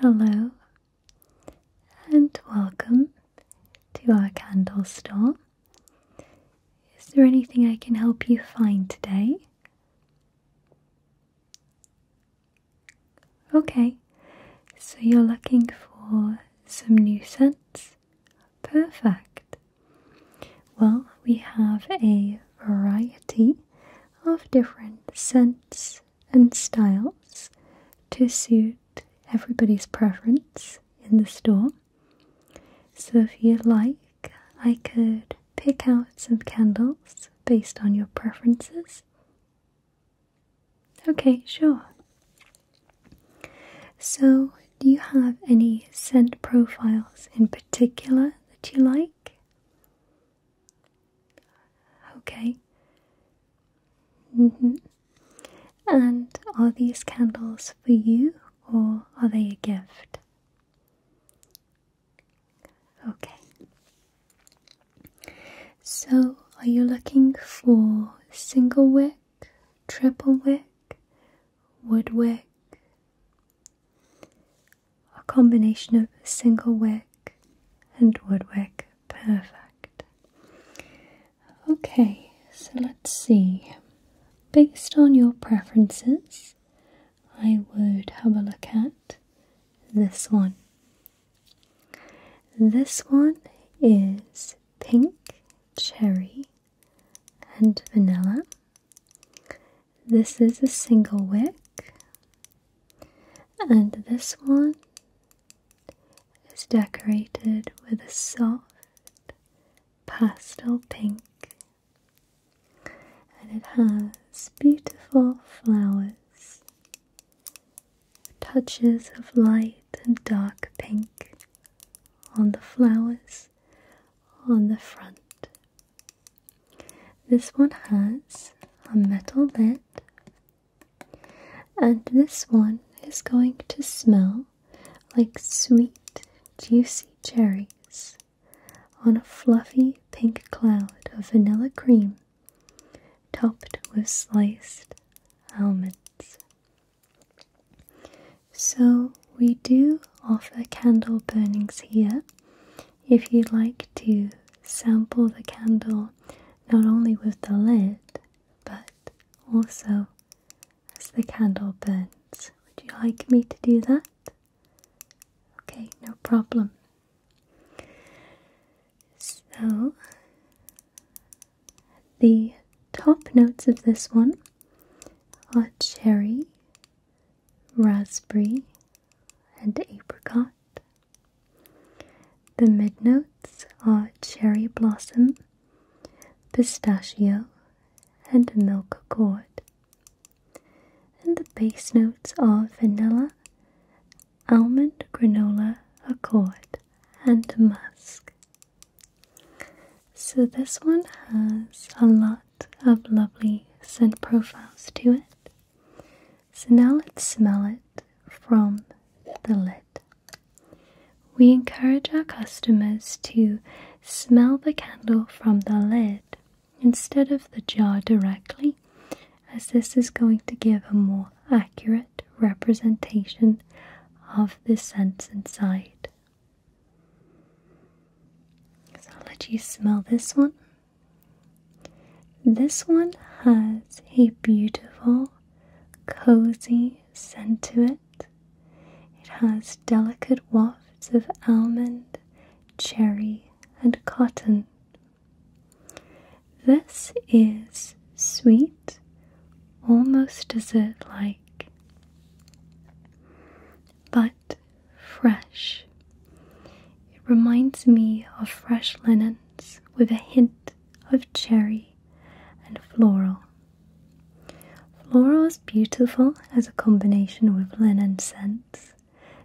Hello and welcome to our candle store. Is there anything I can help you find today? Okay, so you're looking for some new scents? Perfect. Well, we have a variety of different scents and styles to suit everybody's preference in the store. So, if you like, I could pick out some candles based on your preferences. Okay, sure. So, do you have any scent profiles in particular that you like? Okay. -hmm. And are these candles for you or are they a gift? Okay. So, are you looking for single wick, triple wick, wood wick? a combination of single wick and woodwick. Perfect. Okay, so let's see. Based on your preferences, I would have a look at this one. This one is pink cherry and vanilla. This is a single wick and this one is decorated with a soft pastel pink and it has beautiful flowers, touches of light and dark pink on the flowers on the front. This one has a metal lid, and this one is going to smell like sweet, juicy cherries on a fluffy pink cloud of vanilla cream topped with sliced almonds. So, we do offer candle burnings here if you'd like to sample the candle not only with the lid, but also as the candle burns, would you like me to do that? Okay, no problem. So, the top notes of this one are cherry, raspberry, and apricot. The mid notes are cherry blossom, pistachio, and milk gourd. And the base notes are vanilla, almond, granola, accord, and musk. So this one has a lot of lovely scent profiles to it. So now let's smell it from the lid. We encourage our customers to smell the candle from the lid instead of the jar directly, as this is going to give a more accurate representation of the scent inside. So i let you smell this one. This one has a beautiful, cozy scent to it. It has delicate wafts of almond, cherry, and cotton. This is sweet, almost dessert like, but fresh. It reminds me of fresh linens with a hint of cherry and floral. Floral is beautiful as a combination with linen scents,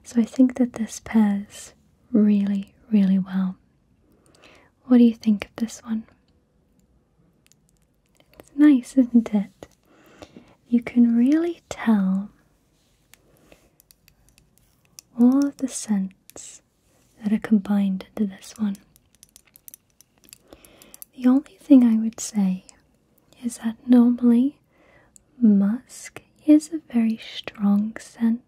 so I think that this pairs really, really well. What do you think of this one? It's nice, isn't it? You can really tell all of the scents that are combined to this one. The only thing I would say is that normally musk is a very strong scent,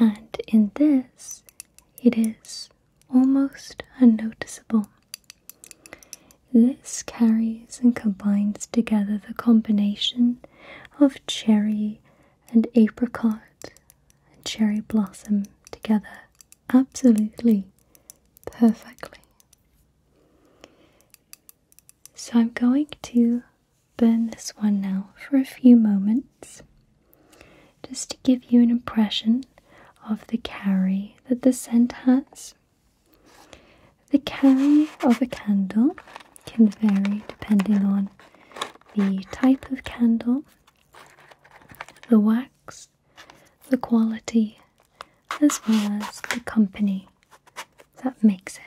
and in this it is almost unnoticeable. This carries and combines together the combination of cherry and apricot and cherry blossom together absolutely perfectly. So I'm going to burn this one now for a few moments just to give you an impression of the carry that the scent has. The carry of a candle can vary depending on the type of candle, the wax, the quality, as well as the company that makes it.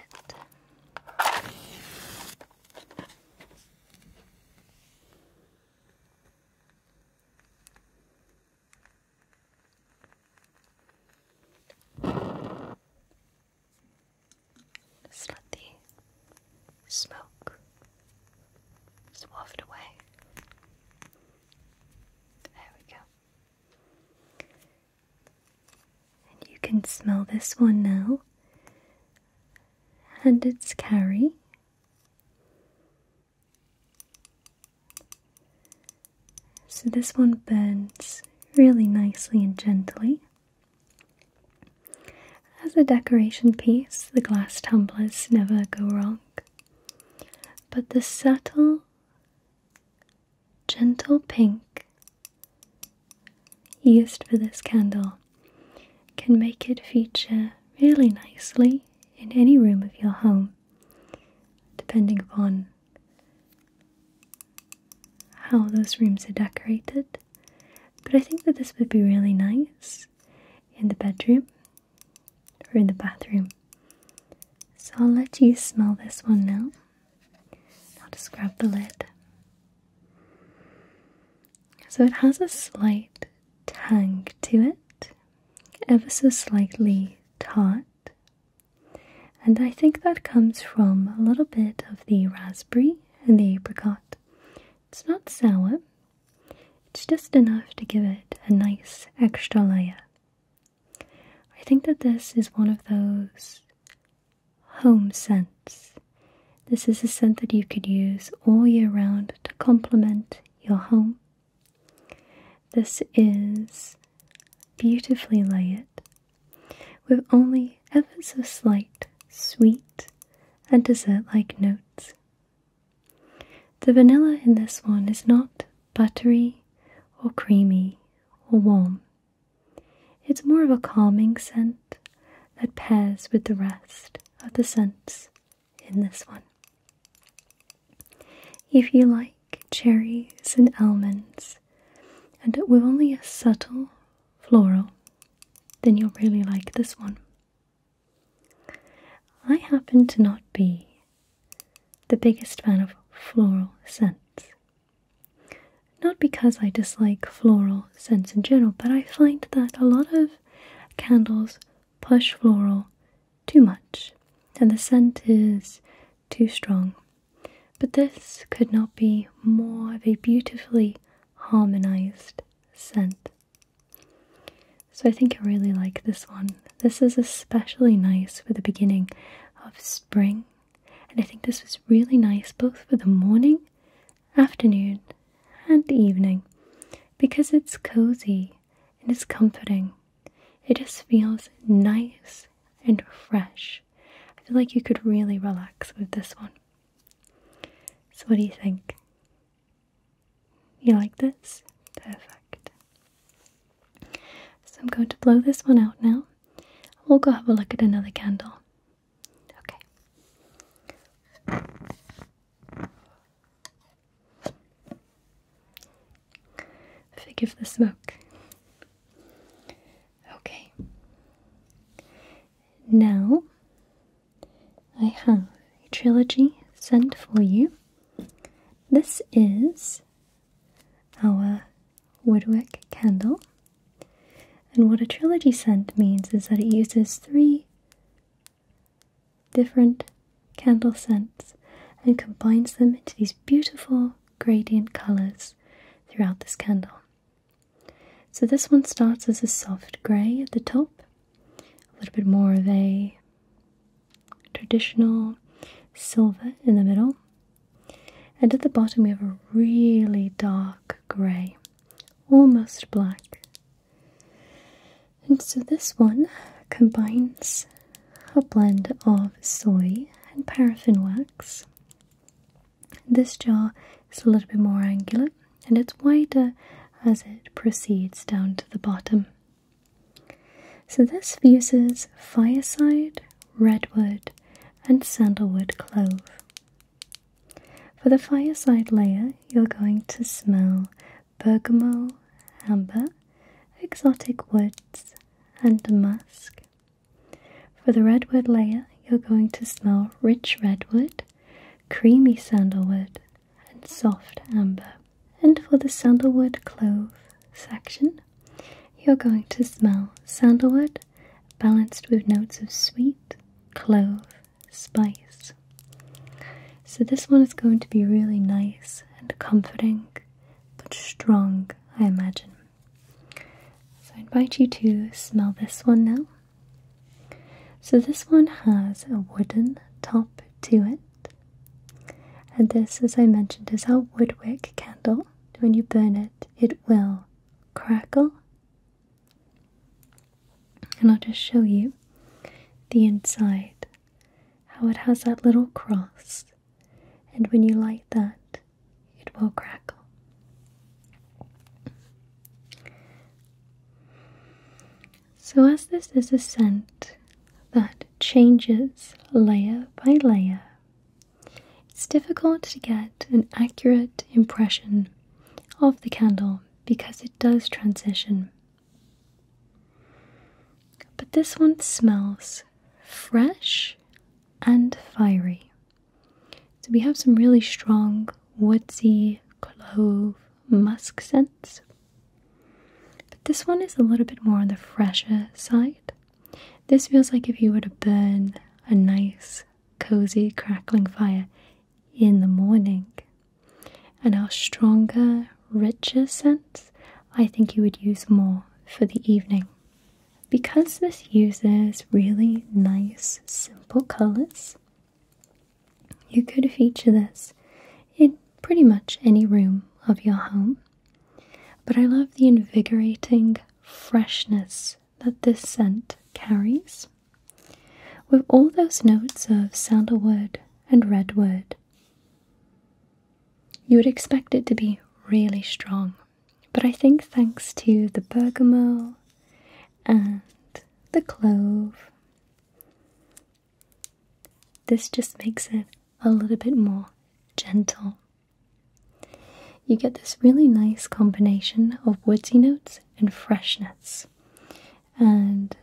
Just let the smoke just waft away. There we go. And you can smell this one now. And its carry. So this one burns really nicely and gently. As a decoration piece, the glass tumblers never go wrong. But the subtle, gentle pink used for this candle can make it feature really nicely in any room of your home, depending upon how those rooms are decorated. But I think that this would be really nice in the bedroom or in the bathroom. So I'll let you smell this one now. I'll just grab the lid. So it has a slight tang to it, ever so slightly tart. And I think that comes from a little bit of the raspberry and the apricot. It's not sour, it's just enough to give it a nice extra layer. I think that this is one of those home scents. This is a scent that you could use all year round to complement your home. This is beautifully layered with only ever so slight, sweet, and dessert like notes. The vanilla in this one is not buttery or creamy or warm. It's more of a calming scent that pairs with the rest of the scents in this one. If you like cherries and almonds, and with only a subtle floral, then you'll really like this one. I happen to not be the biggest fan of floral scents. Not because I dislike floral scents in general, but I find that a lot of candles push floral too much and the scent is too strong. But this could not be more of a beautifully harmonized scent. So I think I really like this one. This is especially nice for the beginning of spring, and I think this was really nice both for the morning, afternoon, and evening because it's cozy and it's comforting. It just feels nice and fresh. I feel like you could really relax with this one. So, what do you think? You like this? Perfect. So, I'm going to blow this one out now. We'll go have a look at another candle. Okay. Forgive the smoke. Okay. Now I have a trilogy sent for you. This is our Woodwick candle. And what a trilogy scent means is that it uses three different candle scents and combines them into these beautiful gradient colours throughout this candle. So this one starts as a soft grey at the top, a little bit more of a traditional silver in the middle, and at the bottom we have a really dark grey, almost black. And so this one combines a blend of soy and paraffin wax this jaw is a little bit more angular and it's wider as it proceeds down to the bottom. So this fuses fireside, redwood, and sandalwood clove. For the fireside layer, you're going to smell bergamot, amber, exotic woods, and musk. For the redwood layer, you're going to smell rich redwood, creamy sandalwood, and soft amber. And for the sandalwood clove section, you're going to smell sandalwood balanced with notes of sweet, clove, spice. So, this one is going to be really nice and comforting, but strong, I imagine. So, I invite you to smell this one now. So this one has a wooden top to it. And this, as I mentioned, is our woodwick candle. When you burn it, it will crackle. And I'll just show you the inside, how it has that little cross. And when you light that, it will crackle. So, as this is a scent that changes layer by layer, it's difficult to get an accurate impression of the candle because it does transition. But this one smells fresh and fiery. So we have some really strong woodsy clove musk scents. But this one is a little bit more on the fresher side. This feels like if you were to burn a nice, cozy, crackling fire in the morning. And our stronger, richer scents, I think you would use more for the evening. Because this uses really nice, simple colors, you could feature this in pretty much any room of your home, but I love the invigorating freshness that this scent carries. With all those notes of sandalwood and redwood, you would expect it to be really strong, but I think thanks to the bergamot and the clove. This just makes it a little bit more gentle. You get this really nice combination of woody notes and freshness. And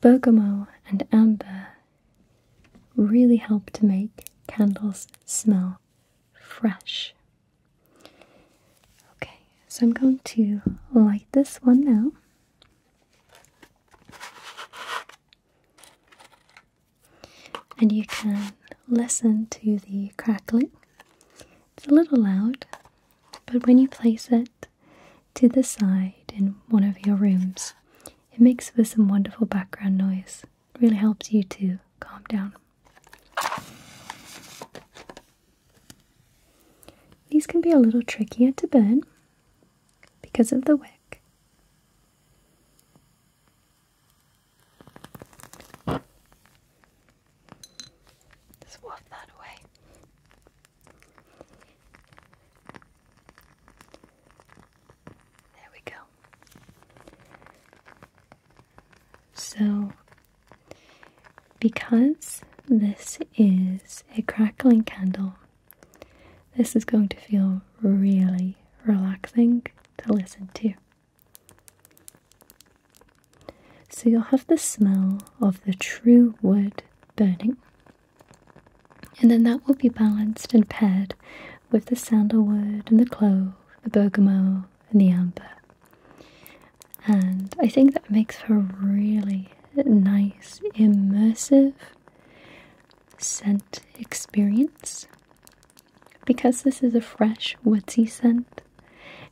bergamot and amber really help to make candles smell fresh. Okay, so I'm going to light this one now. And you can listen to the crackling. It's a little loud, but when you place it to the side in one of your rooms, it makes for some wonderful background noise. It really helps you to calm down. These can be a little trickier to burn because of the wick. Just waft that away. There we go. So, because this is a crackling candle, this is going to feel really relaxing to listen to. So, you'll have the smell of the true wood burning, and then that will be balanced and paired with the sandalwood and the clove, the bergamot, in the amber. And I think that makes for a really nice, immersive scent experience. Because this is a fresh, woodsy scent,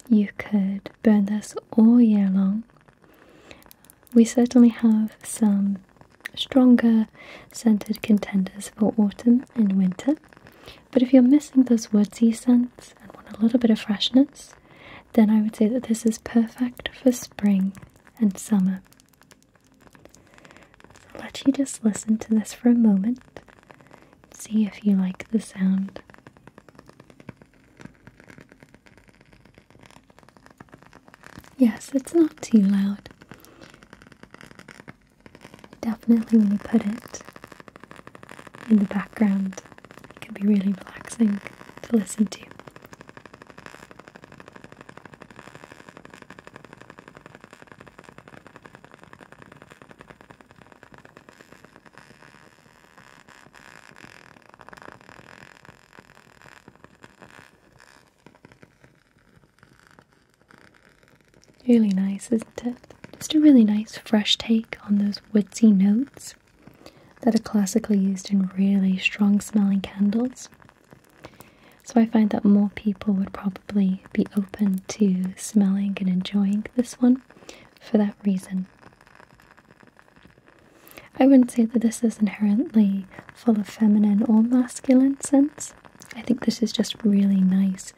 you could burn this all year long. We certainly have some stronger scented contenders for autumn and winter, but if you're missing those woodsy scents and want a little bit of freshness, then I would say that this is perfect for spring and summer. let you just listen to this for a moment. See if you like the sound. Yes, it's not too loud. Definitely when you put it in the background, it can be really relaxing to listen to. Really nice, isn't it? Just a really nice, fresh take on those woodsy notes that are classically used in really strong smelling candles. So I find that more people would probably be open to smelling and enjoying this one for that reason. I wouldn't say that this is inherently full of feminine or masculine scents. I think this is just really nice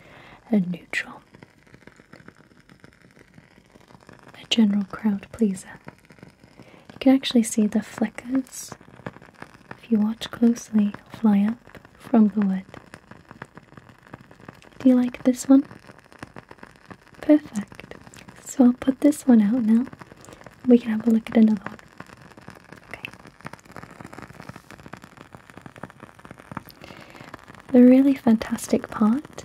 and neutral a general crowd pleaser. You can actually see the flickers, if you watch closely, fly up from the wood. Do you like this one? Perfect. So I'll put this one out now. We can have a look at another one. Okay. The really fantastic part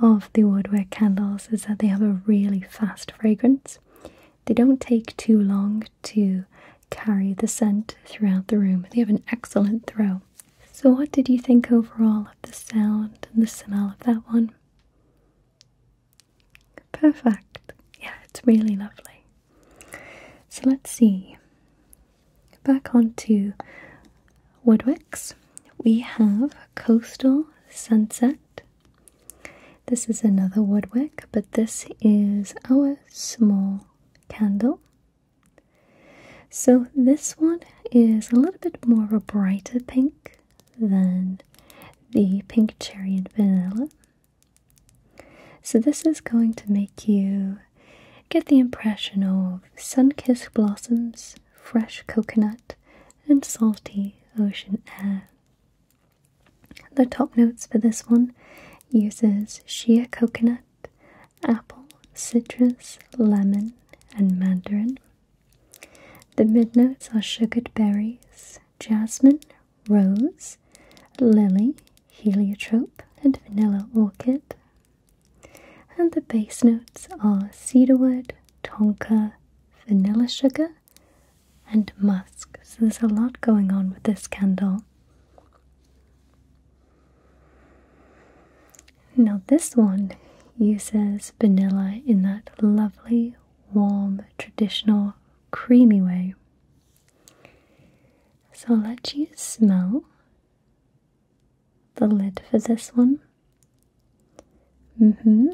of the woodwork candles is that they have a really fast fragrance. They don't take too long to carry the scent throughout the room. They have an excellent throw. So, what did you think overall of the sound and the smell of that one? Perfect. Yeah, it's really lovely. So let's see. Back onto Woodwicks. We have Coastal Sunset. This is another woodwick, but this is our small candle. So this one is a little bit more of a brighter pink than the pink cherry and vanilla. So, this is going to make you get the impression of sun kissed blossoms, fresh coconut, and salty ocean air. The top notes for this one uses sheer coconut, apple, citrus, lemon, and mandarin. The mid notes are sugared berries, jasmine, rose, lily, heliotrope, and vanilla orchid. And the base notes are cedarwood, tonka, vanilla sugar, and musk. So there's a lot going on with this candle. Now, this one uses vanilla in that lovely, warm, traditional, creamy way. So I'll let you smell the lid for this one. Mm-hmm.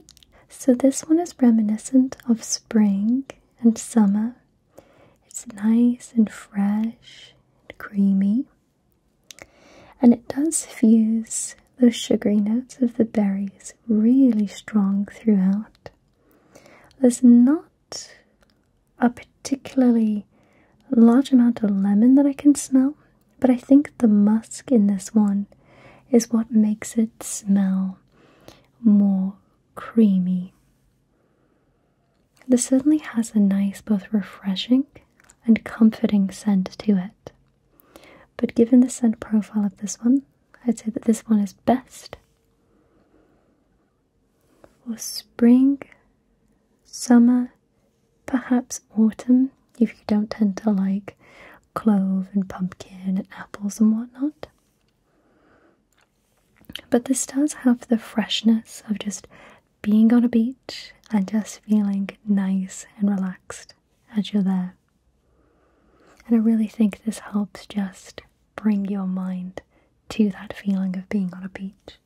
So this one is reminiscent of spring and summer. It's nice and fresh and creamy. And it does fuse those sugary notes of the berries really strong throughout. There's not a particularly large amount of lemon that I can smell, but I think the musk in this one is what makes it smell more creamy. This certainly has a nice, both refreshing and comforting scent to it. But given the scent profile of this one, I'd say that this one is best. For spring, summer, perhaps autumn if you don't tend to like clove and pumpkin and apples and whatnot. But this does have the freshness of just being on a beach and just feeling nice and relaxed as you're there. And I really think this helps just bring your mind to that feeling of being on a beach.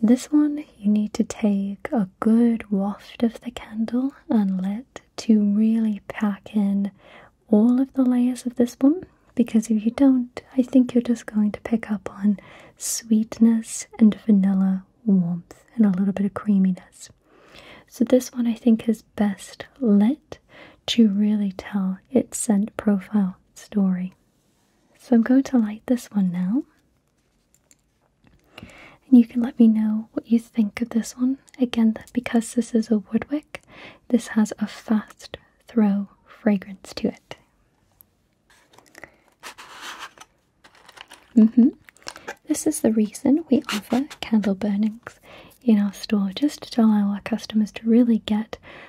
This one you need to take a good waft of the candle and let to really pack in all of the layers of this one because if you don't, I think you're just going to pick up on sweetness and vanilla warmth and a little bit of creaminess. So, this one I think is best lit to really tell its scent profile story. So I'm going to light this one now. And you can let me know what you think of this one. Again, because this is a woodwick, this has a fast throw fragrance to it. Mm-hmm. This is the reason we offer candle burnings in our store, just to allow our customers to really get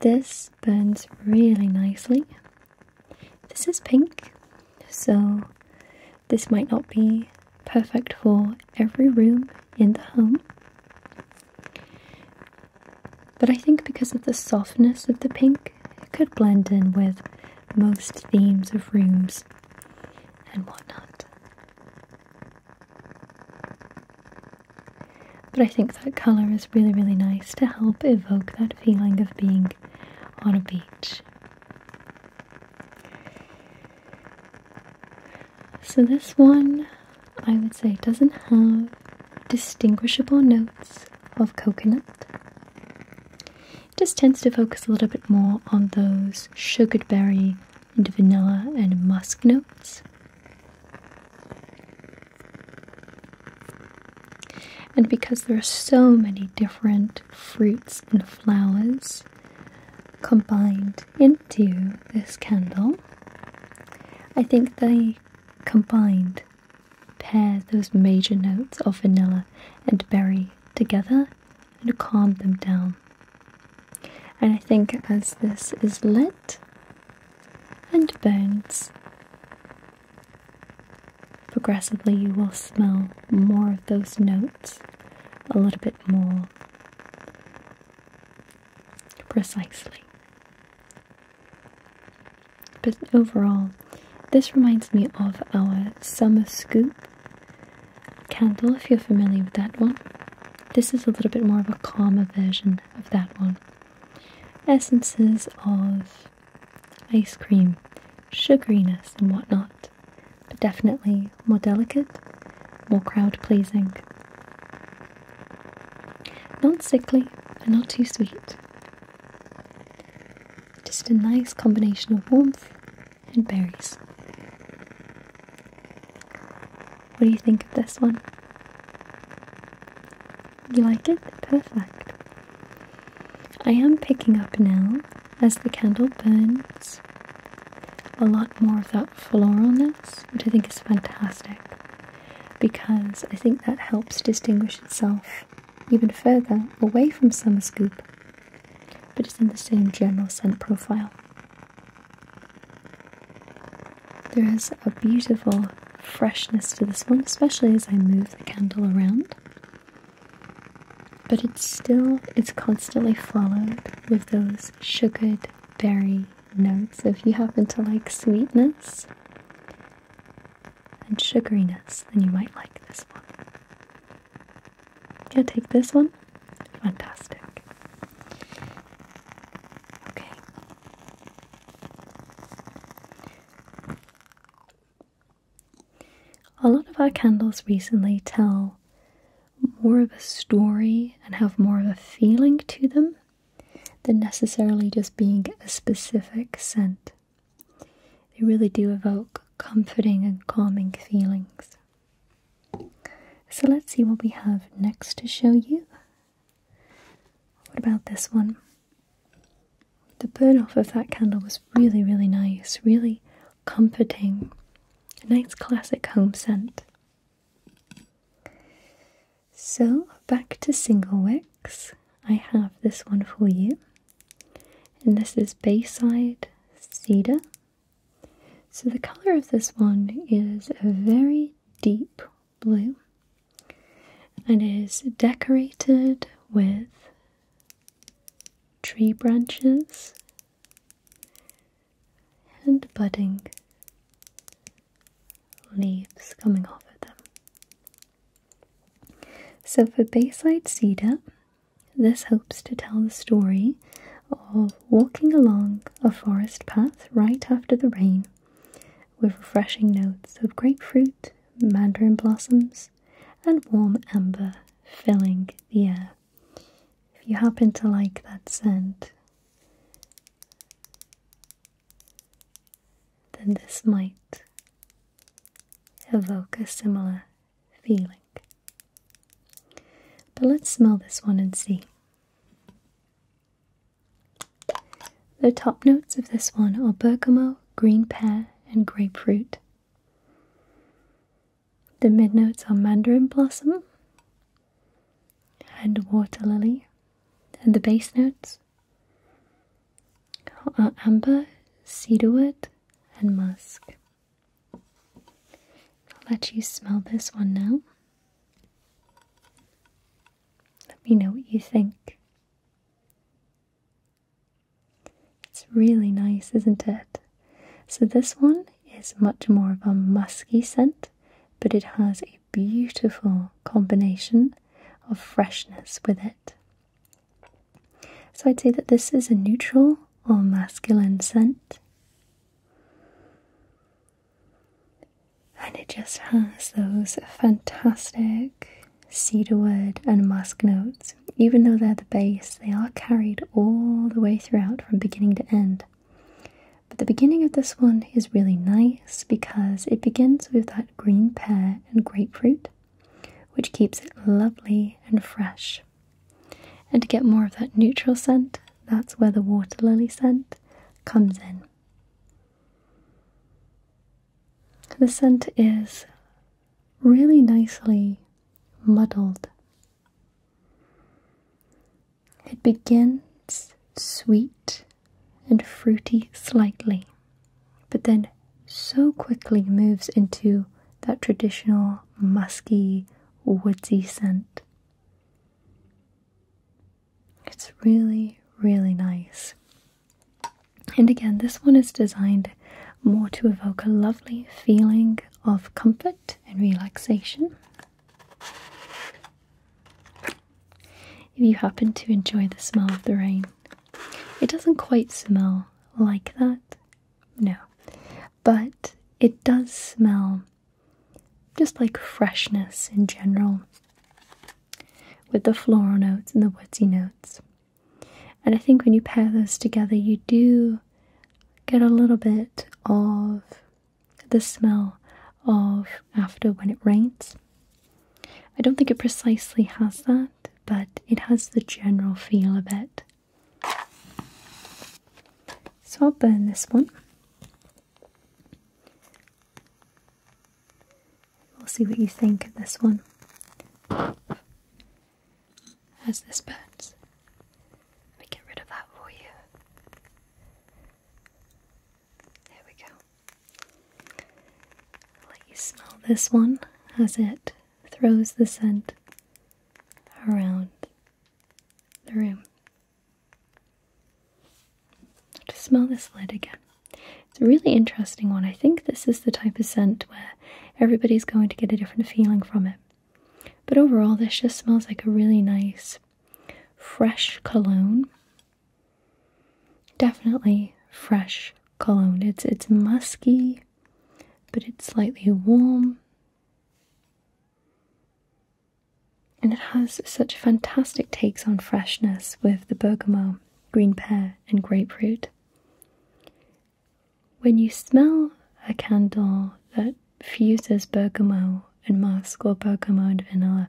This burns really nicely. This is pink, so this might not be perfect for every room in the home. But I think because of the softness of the pink, it could blend in with most themes of rooms and whatnot. But I think that colour is really, really nice to help evoke that feeling of being on a beach. So, this one I would say doesn't have distinguishable notes of coconut. It just tends to focus a little bit more on those sugared berry and vanilla and musk notes. And because there are so many different fruits and flowers combined into this candle, I think they combined pair those major notes of vanilla and berry together and calm them down. And I think as this is lit, and bones. Progressively, you will smell more of those notes a little bit more precisely. But overall, this reminds me of our summer scoop candle, if you're familiar with that one. This is a little bit more of a calmer version of that one essences of ice cream, sugariness and whatnot, but definitely more delicate, more crowd pleasing. Not sickly and not too sweet. Just a nice combination of warmth and berries. What do you think of this one? You like it? Perfect. I am picking up now as the candle burns a lot more of that floralness, which I think is fantastic because I think that helps distinguish itself even further away from Summer Scoop, but it's in the same general scent profile. There is a beautiful freshness to this one, especially as I move the candle around. But it's still, it's constantly followed with those sugared berry notes. If you happen to like sweetness and sugariness, then you might like this one. Yeah, take this one. Fantastic. Okay, a lot of our candles recently tell more of a story and have more of a feeling to them than necessarily just being a specific scent. They really do evoke comforting and calming feelings. So let's see what we have next to show you. What about this one? The burn off of that candle was really, really nice, really comforting. A nice classic home scent. So, back to single wicks. I have this one for you. And this is Bayside Cedar. So, the colour of this one is a very deep blue and is decorated with tree branches and budding leaves coming off of them. So for Bayside Cedar, this hopes to tell the story of walking along a forest path right after the rain with refreshing notes of grapefruit, mandarin blossoms, and warm amber filling the air. If you happen to like that scent, then this might evoke a similar feeling. But let's smell this one and see. The top notes of this one are bergamot, green pear, and grapefruit. The mid notes are mandarin blossom and water lily, and the base notes are amber, cedarwood, and musk. I'll let you smell this one now. Let me know what you think. It's really nice, isn't it? So, this one is much more of a musky scent, but it has a beautiful combination of freshness with it. So, I'd say that this is a neutral or masculine scent and it just has those fantastic cedarwood and musk notes. Even though they're the base, they are carried all the way throughout from beginning to end. But the beginning of this one is really nice because it begins with that green pear and grapefruit, which keeps it lovely and fresh. And to get more of that neutral scent, that's where the water lily scent comes in. The scent is really nicely muddled. It begins sweet and fruity slightly, but then so quickly moves into that traditional musky, woodsy scent. It's really, really nice. And again, this one is designed more to evoke a lovely feeling of comfort and relaxation. If you happen to enjoy the smell of the rain, it doesn't quite smell like that, no, but it does smell just like freshness in general with the floral notes and the woodsy notes. And I think when you pair those together, you do get a little bit of the smell of after when it rains. I don't think it precisely has that, but it has the general feel of it. So I'll burn this one. We'll see what you think of this one. As this burns? Let me get rid of that for you. There we go. let you smell this one as it throws the scent around the room. To smell this lid again. It's a really interesting one. I think this is the type of scent where everybody's going to get a different feeling from it. But overall, this just smells like a really nice, fresh cologne. Definitely fresh cologne. It's it's musky, but it's slightly warm. And it has such fantastic takes on freshness with the bergamot green pear, and grapefruit. When you smell a candle that fuses bergamot and musk or bergamot and vanilla,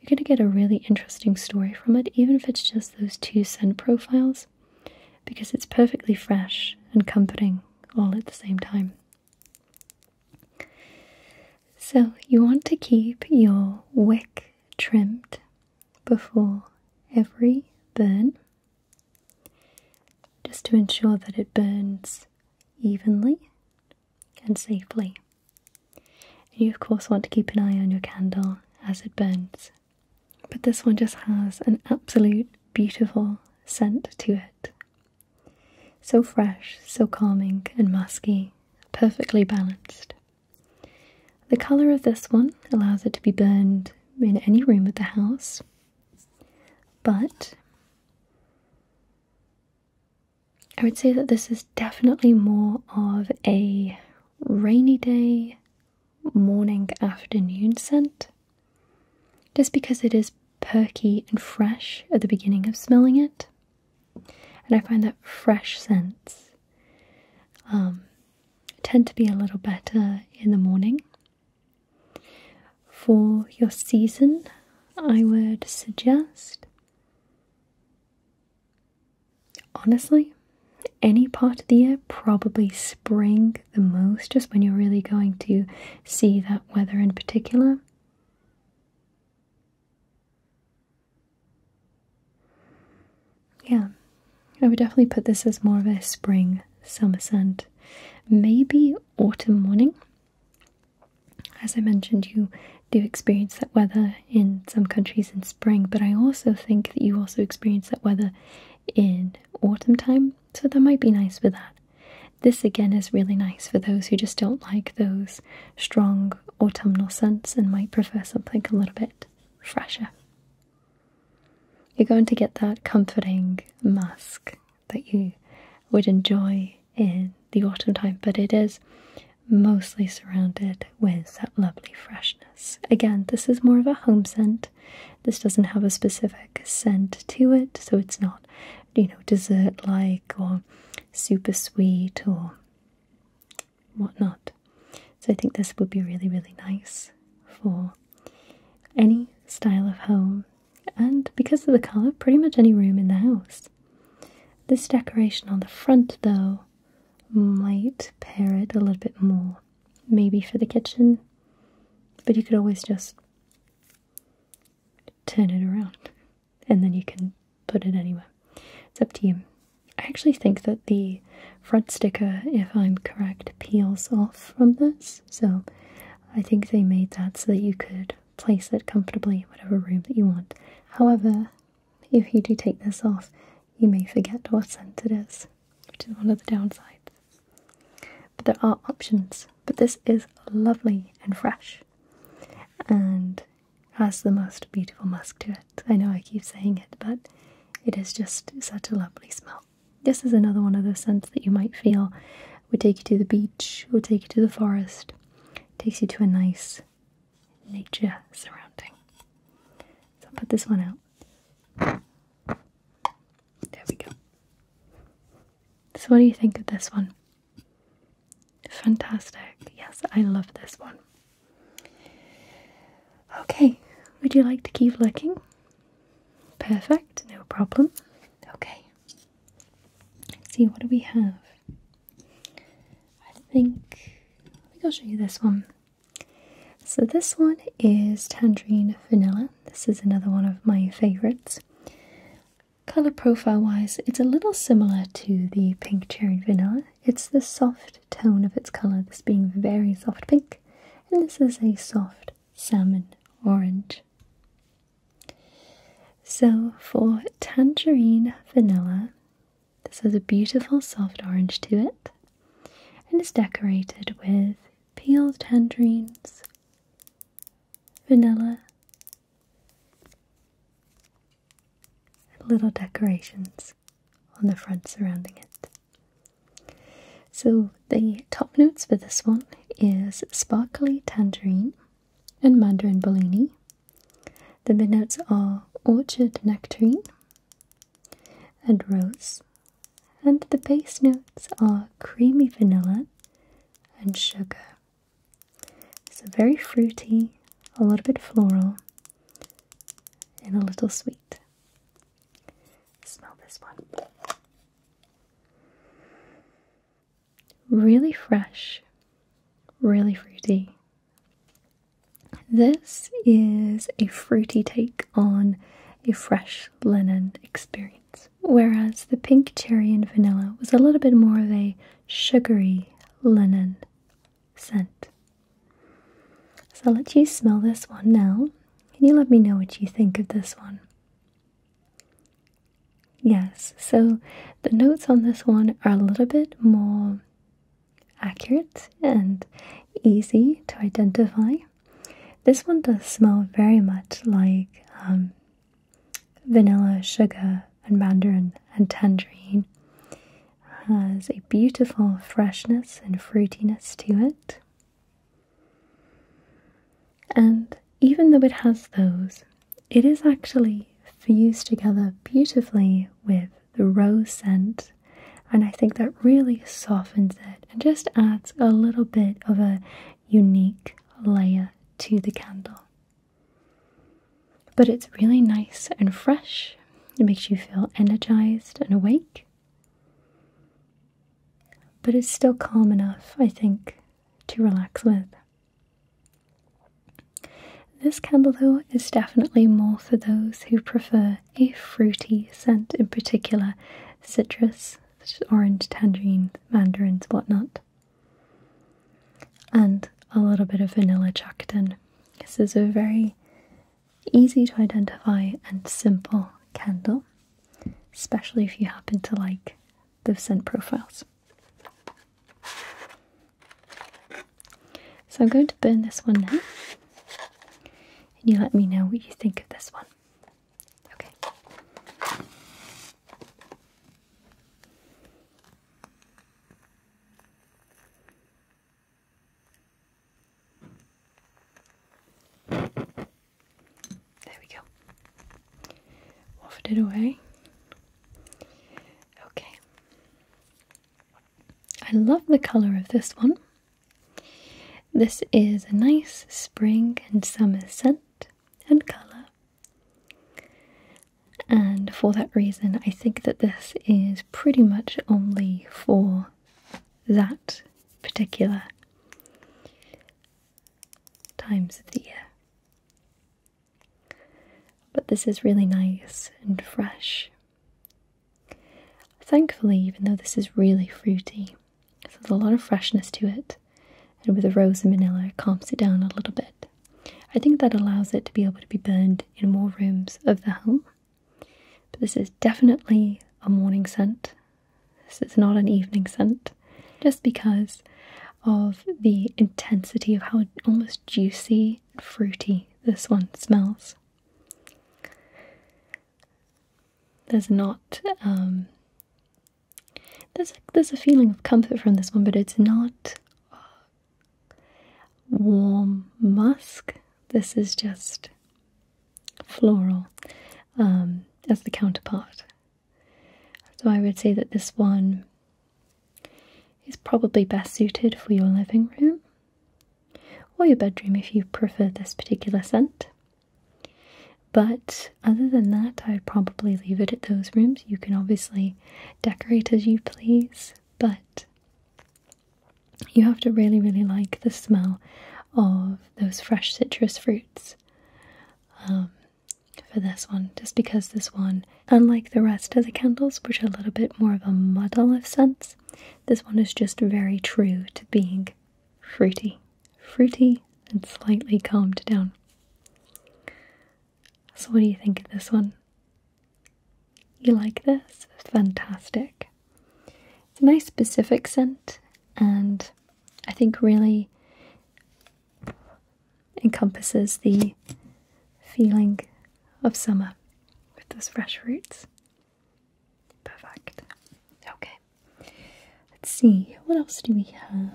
you're going to get a really interesting story from it, even if it's just those two scent profiles, because it's perfectly fresh and comforting all at the same time. So, you want to keep your wick trimmed before every burn just to ensure that it burns evenly and safely. you, of course, want to keep an eye on your candle as it burns. But this one just has an absolute beautiful scent to it. So fresh, so calming and musky, perfectly balanced. The color of this one allows it to be burned in any room of the house, but I would say that this is definitely more of a rainy day, morning, afternoon scent, just because it is perky and fresh at the beginning of smelling it. And I find that fresh scents um, tend to be a little better in the morning. For your season, I would suggest honestly any part of the year, probably spring the most, just when you're really going to see that weather in particular. Yeah, I would definitely put this as more of a spring summer scent. Maybe autumn morning. As I mentioned, you do experience that weather in some countries in spring, but I also think that you also experience that weather in autumn time, so that might be nice for that. This again is really nice for those who just don't like those strong autumnal scents and might prefer something a little bit just fresher. You're going to get that comforting musk that you would enjoy in the autumn time, but it is mostly surrounded with that lovely freshness. Again, this is more of a home scent. This doesn't have a specific scent to it, so it's not, you know, dessert like or super sweet or whatnot. So I think this would be really, really nice for any style of home, and because of the colour, pretty much any room in the house. This decoration on the front, though, might pair it a little bit more, maybe for the kitchen, but you could always just turn it around and then you can put it anywhere. It's up to you. I actually think that the front sticker, if I'm correct, peels off from this. So I think they made that so that you could place it comfortably in whatever room that you want. However, if you do take this off, you may forget what scent it is, which is one of the downsides. But there are options. But this is lovely and fresh. And has the most beautiful musk to it. I know I keep saying it, but it is just such a lovely smell. This is another one of those scents that you might feel would take you to the beach, would take you to the forest, takes you to a nice nature surrounding. So I'll put this one out. There we go. So, what do you think of this one? Fantastic. Yes, I love this one. Okay, would you like to keep looking? Perfect, no problem. Okay. Let's see, what do we have? I think I think I'll show you this one. So this one is tangerine vanilla. This is another one of my favorites. Color profile wise, it's a little similar to the pink cherry vanilla. It's the soft tone of its colour, this being very soft pink, and this is a soft salmon orange. So for tangerine vanilla, this has a beautiful soft orange to it and is decorated with peeled tangerines, vanilla, little decorations on the front surrounding it. So, the top notes for this one is sparkly tangerine and mandarin bellini. The mid notes are orchard nectarine and rose, and the base notes are creamy vanilla and sugar. So, very fruity, a little bit floral, and a little sweet. Smell this one. Really fresh, really fruity. This is a fruity take on a fresh linen experience, whereas the pink cherry and vanilla was a little bit more of a sugary linen scent. So let you smell this one now. Can you let me know what you think of this one? Yes, so the notes on this one are a little bit more accurate and easy to identify. This one does smell very much like um, vanilla, sugar, and mandarin and tangerine has a beautiful freshness and fruitiness to it. And even though it has those, it is actually fused together beautifully with the rose scent, and I think that really softens it and just adds a little bit of a unique layer to the candle. But it's really nice and fresh it makes you feel energized and awake. But it's still calm enough, I think, to relax with. This candle, though, is definitely more for those who prefer a fruity scent, in particular citrus, orange, tangerine, mandarins, whatnot, and a little bit of vanilla in. This is a very easy to identify and simple candle, especially if you happen to like the scent profiles. So I'm going to burn this one now, and you let me know what you think of this one. Okay. There we go. Wafted it away. Okay. I love the colour of this one. This is a nice spring and summer scent and colour. And for that reason, I think that this is pretty much only for that particular times of the year. But this is really nice and fresh. Thankfully, even though this is really fruity, there's a lot of freshness to it, and with the rose and vanilla, calms it down a little bit. I think that allows it to be able to be burned in more rooms of the home but this is definitely a morning scent. This is not an evening scent, just because of the intensity of how almost juicy and fruity this one smells. There's not um, there's there's a feeling of comfort from this one, but it's not warm musk. This is just floral um, as the counterpart. So I would say that this one is probably best suited for your living room or your bedroom if you prefer this particular scent. But other than that, I'd probably leave it at those rooms. You can obviously decorate as you please, but you have to really, really like the smell of those fresh citrus fruits um, for this one, just because this one, unlike the rest of the candles, which are a little bit more of a muddle of scents, this one is just very true to being fruity, fruity and slightly calmed down. So, what do you think of this one? You like this? Fantastic. It's a nice specific scent and I think really encompasses the feeling of summer with those fresh roots. Perfect. Okay. Let's see, what else do we have?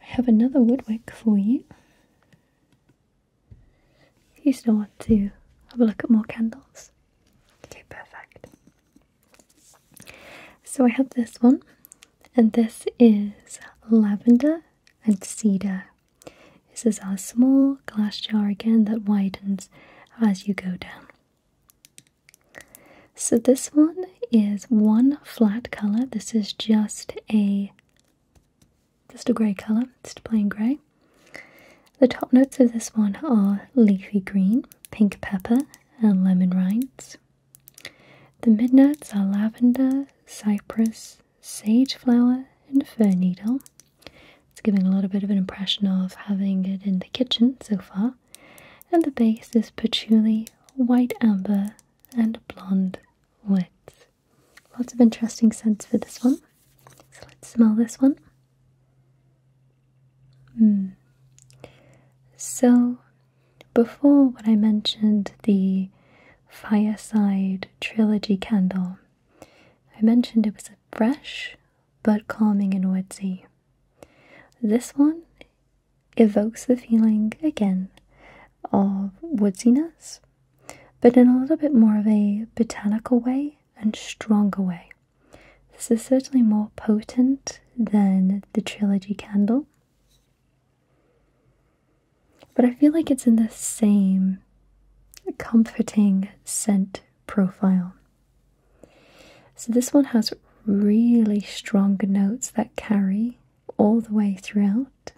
I have another woodwick for you. You still want to have a look at more candles? Okay, perfect. So I have this one, and this is lavender and cedar. This is our small glass jar again that widens as you go down. So this one is one flat color. This is just a just a grey colour, just plain grey. The top notes of this one are leafy green, pink pepper, and lemon rinds. The mid notes are lavender, cypress, sage flower, and fir needle. It's giving a little bit of an impression of having it in the kitchen so far. And the base is patchouli, white amber, and blonde woods. Lots of interesting scents for this one. So let's smell this one. Hmm. So, before when I mentioned, the Fireside Trilogy candle, I mentioned it was a fresh but calming and woodsy. This one evokes the feeling again of woodsiness, but in a little bit more of a botanical way and stronger way. This is certainly more potent than the Trilogy Candle. But I feel like it's in the same comforting scent profile. So this one has really strong notes that carry all the way throughout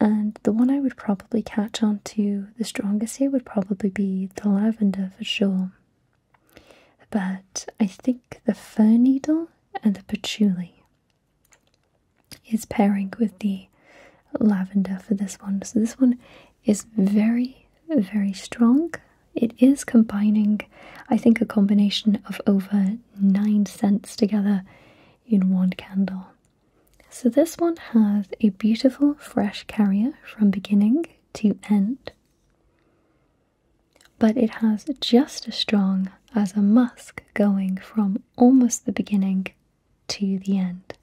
and the one I would probably catch onto the strongest here would probably be the lavender for sure. But I think the fir needle and the patchouli is pairing with the lavender for this one. So this one is very, very strong. It is combining, I think, a combination of over nine scents together in one candle. So this one has a beautiful fresh carrier from beginning to end, but it has just as strong as a musk going from almost the beginning to the end.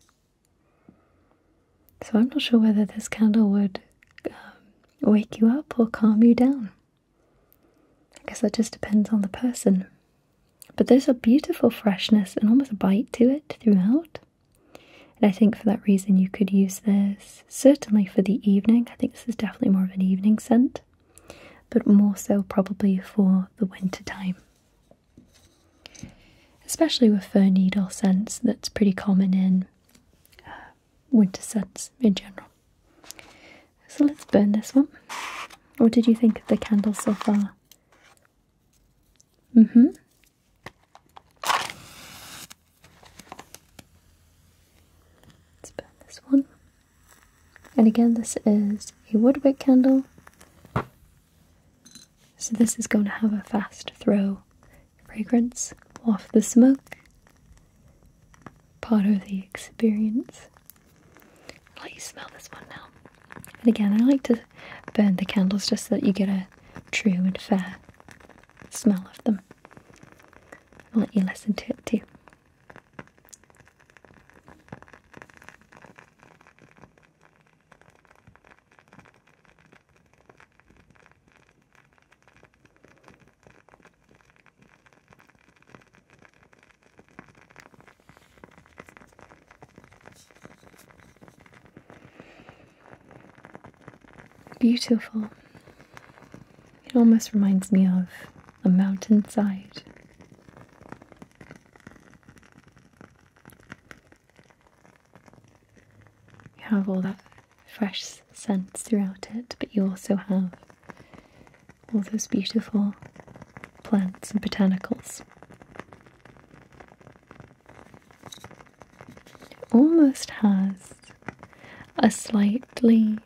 So I'm not sure whether this candle would um, wake you up or calm you down. I guess that just depends on the person but there's a beautiful freshness and almost a bite to it throughout. And I think for that reason, you could use this certainly for the evening. I think this is definitely more of an evening scent, but more so probably for the winter time. Especially with fir needle scents, that's pretty common in uh, winter scents in general. So let's burn this one. What did you think of the candle so far? hmm Let's burn this one. And again, this is a woodwick candle. So this is going to have a fast throw fragrance off the smoke. Part of the experience. let you smell this one now. And again, I like to burn the candles just so that you get a true and fair smell of them. I'll let you listen to it too. Beautiful. It almost reminds me of a mountainside. You have all that fresh scent throughout it, but you also have all those beautiful plants and botanicals almost has a slightly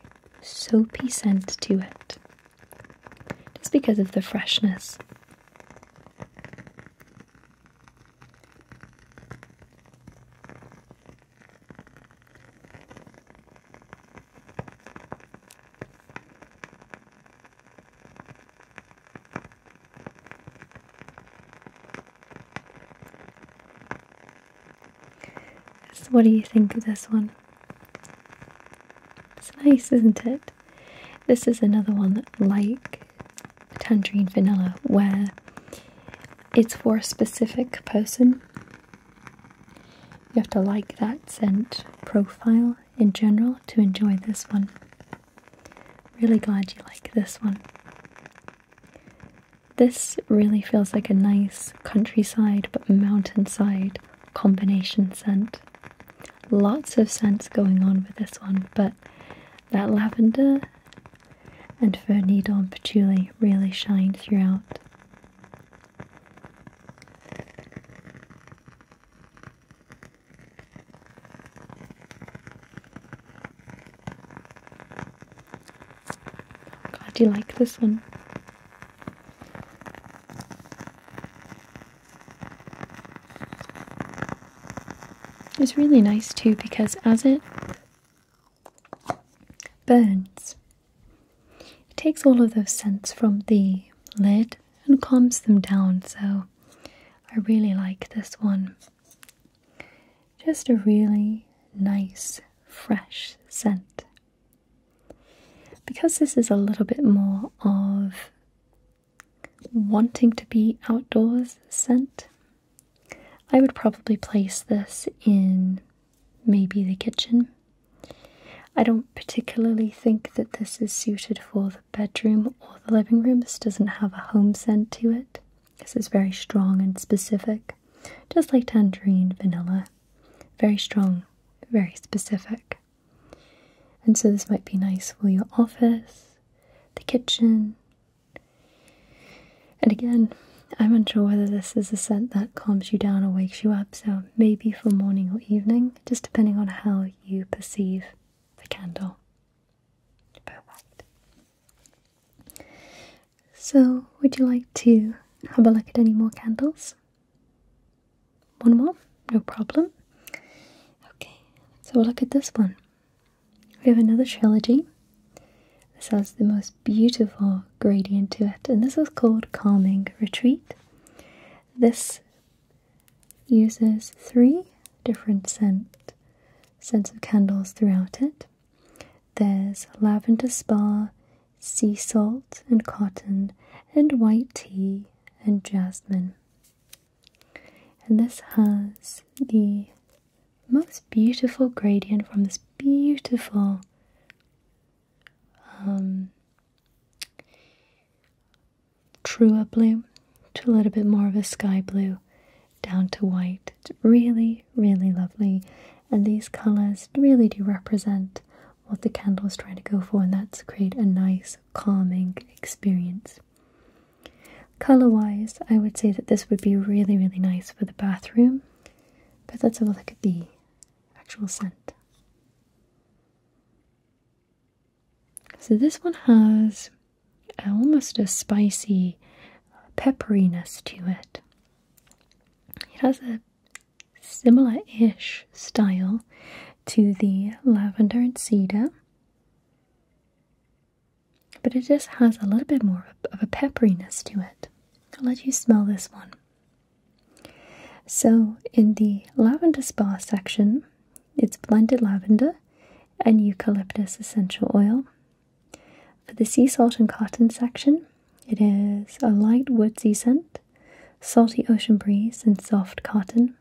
soapy scent to it, just because of the freshness what do you think of this one? It's nice, isn't it? This is another one like tangerine vanilla, where it's for a specific person. You have to like that scent profile in general to enjoy this one. Really glad you like this one. This really feels like a nice countryside but mountainside combination scent. Lots of scents going on with this one, but that lavender and fir needle and patchouli really shine throughout. Glad you like this one. It's really nice too because as it burns, it takes all of those scents from the lid and calms them down. So I really like this one. Just a really nice, fresh scent. Because this is a little bit more of wanting to be outdoors scent, I would probably place this in maybe the kitchen. I don't particularly think that this is suited for the bedroom or the living room. This doesn't have a home scent to it. This is very strong and specific, just like tangerine vanilla. Very strong, very specific. And so this might be nice for your office, the kitchen. And again, I'm unsure whether this is a scent that calms you down or wakes you up, so maybe for morning or evening, just depending on how you perceive the candle. Perfect. So, would you like to have a look at any more candles? One more? No problem. Okay, so we'll look at this one. We have another trilogy. This has the most beautiful gradient to it, and this is called Calming Retreat. This uses three different scent scents of candles throughout it. There's lavender spa, sea salt and cotton, and white tea and jasmine. And this has the most beautiful gradient from this beautiful um, truer blue to a little bit more of a sky blue down to white. It's really, really lovely. And these colors really do represent what the candle is trying to go for, and that's create a nice, calming experience. Color wise, I would say that this would be really, really nice for the bathroom. But let's have a look at the actual scent. So this one has almost a spicy pepperiness to it. It has a similar-ish style to the lavender and cedar. But it just has a little bit more of a pepperiness to it. I'll let you smell this one. So, in the lavender spa section, it's blended lavender and eucalyptus essential oil. For the sea salt and cotton section, it is a light woodsy scent, salty ocean breeze, and soft cotton.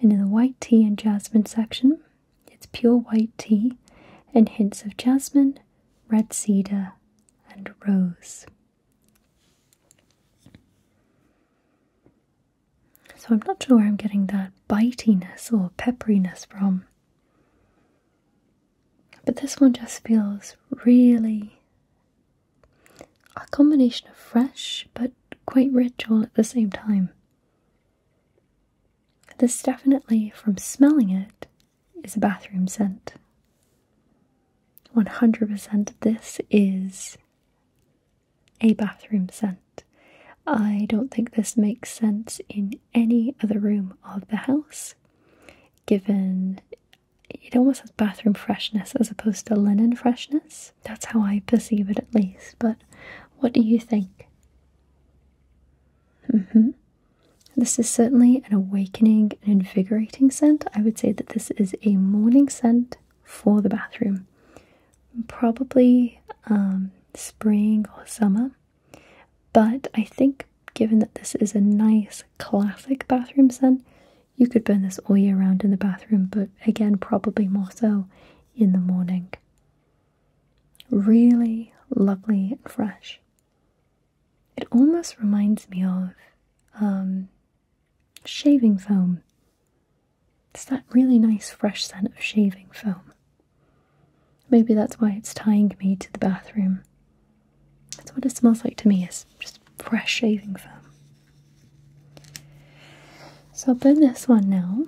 And in the white tea and jasmine section, it's pure white tea and hints of jasmine, red cedar, and rose. So I'm not sure where I'm getting that bitiness or pepperiness from. But this one just feels really a combination of fresh but quite rich all at the same time. This definitely, from smelling it, is a bathroom scent. 100% this is a bathroom scent. I don't think this makes sense in any other room of the house, given it almost has bathroom freshness as opposed to linen freshness. That's how I perceive it, at least. But what do you think? Mm-hmm. This is certainly an awakening and invigorating scent. I would say that this is a morning scent for the bathroom probably um, spring or summer. But I think, given that this is a nice classic bathroom scent, you could burn this all year round in the bathroom, but again, probably more so in the morning. Really lovely and fresh. It almost reminds me of um, shaving foam. It's that really nice fresh scent of shaving foam. Maybe that's why it's tying me to the bathroom. That's what it smells like to me, is just fresh shaving foam. So open this one now.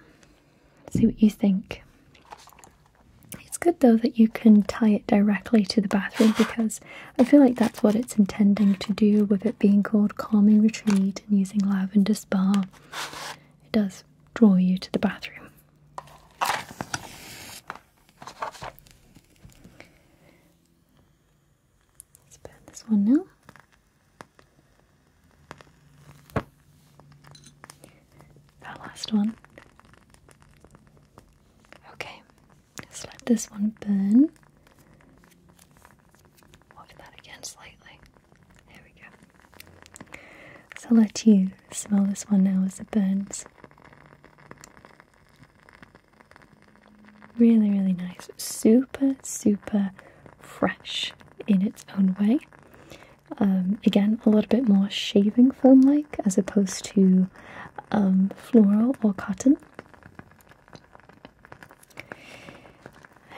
See what you think. It's good though that you can tie it directly to the bathroom because I feel like that's what it's intending to do with it being called Calming Retreat and using Lavender Spa. It does draw you to the bathroom. Let's burn this one now. That last one. Okay, let's let this one burn. Off that again slightly. There we go. So let you smell this one now as it burns. Really, really nice. Super, super fresh in its own way. Um, again, a little bit more shaving foam like as opposed to um, floral or cotton.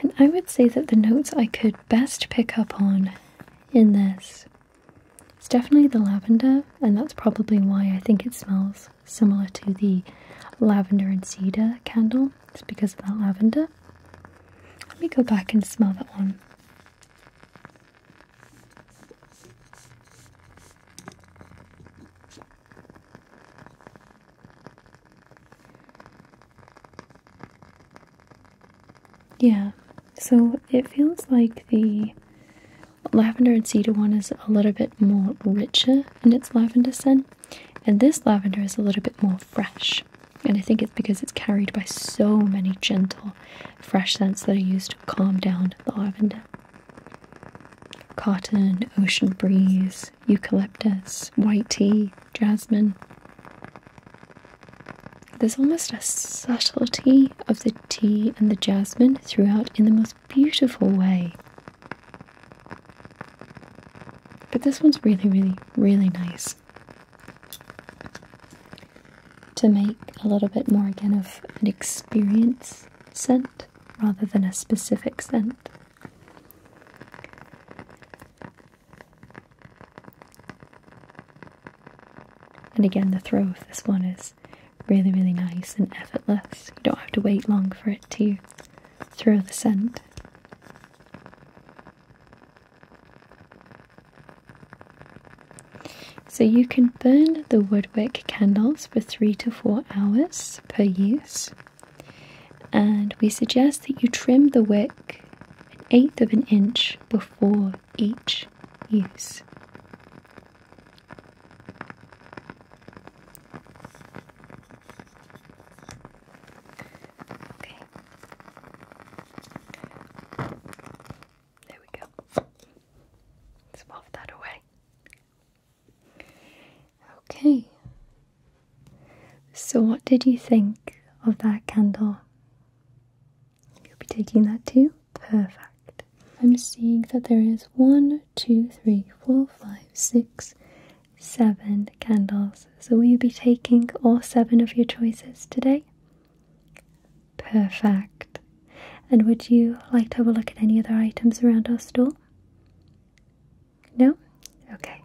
And I would say that the notes I could best pick up on in this is definitely the lavender, and that's probably why I think it smells similar to the lavender and cedar candle. It's because of that lavender. Let me go back and smell that one. Yeah, so it feels like the lavender and cedar one is a little bit more richer in its lavender scent, and this lavender is a little bit more fresh. And I think it's because it's carried by so many gentle, fresh scents that are used to calm down the lavender cotton, ocean breeze, eucalyptus, white tea jasmine. There's almost a subtlety of the tea and the jasmine throughout in the most beautiful way. But this one's really, really, really nice. To make a little bit more again of an experience scent rather than a specific scent. And again, the throw of this one is really, really nice and effortless. You don't have to wait long for it to throw the scent. So you can burn the woodwick candles for three to four hours per use. And we suggest that you trim the wick an eighth of an inch before each use. Okay. There we go. Let's pop that away. Okay. So, what did you think of that candle? You'll be taking that too? Perfect. I'm seeing that there is one, two, three, four, five, six, seven candles. So will you be taking all seven of your choices today? Perfect. And would you like to have a look at any other items around our store? No? Okay.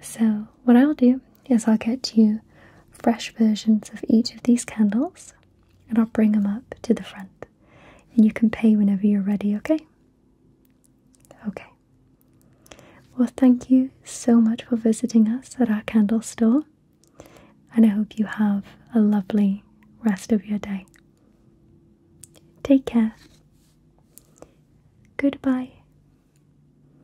So, what I'll do Yes, I'll get you fresh versions of each of these candles and I'll bring them up to the front. And you can pay whenever you're ready, okay? Okay. Well, thank you so much for visiting us at our candle store. And I hope you have a lovely rest of your day. Take care. Goodbye.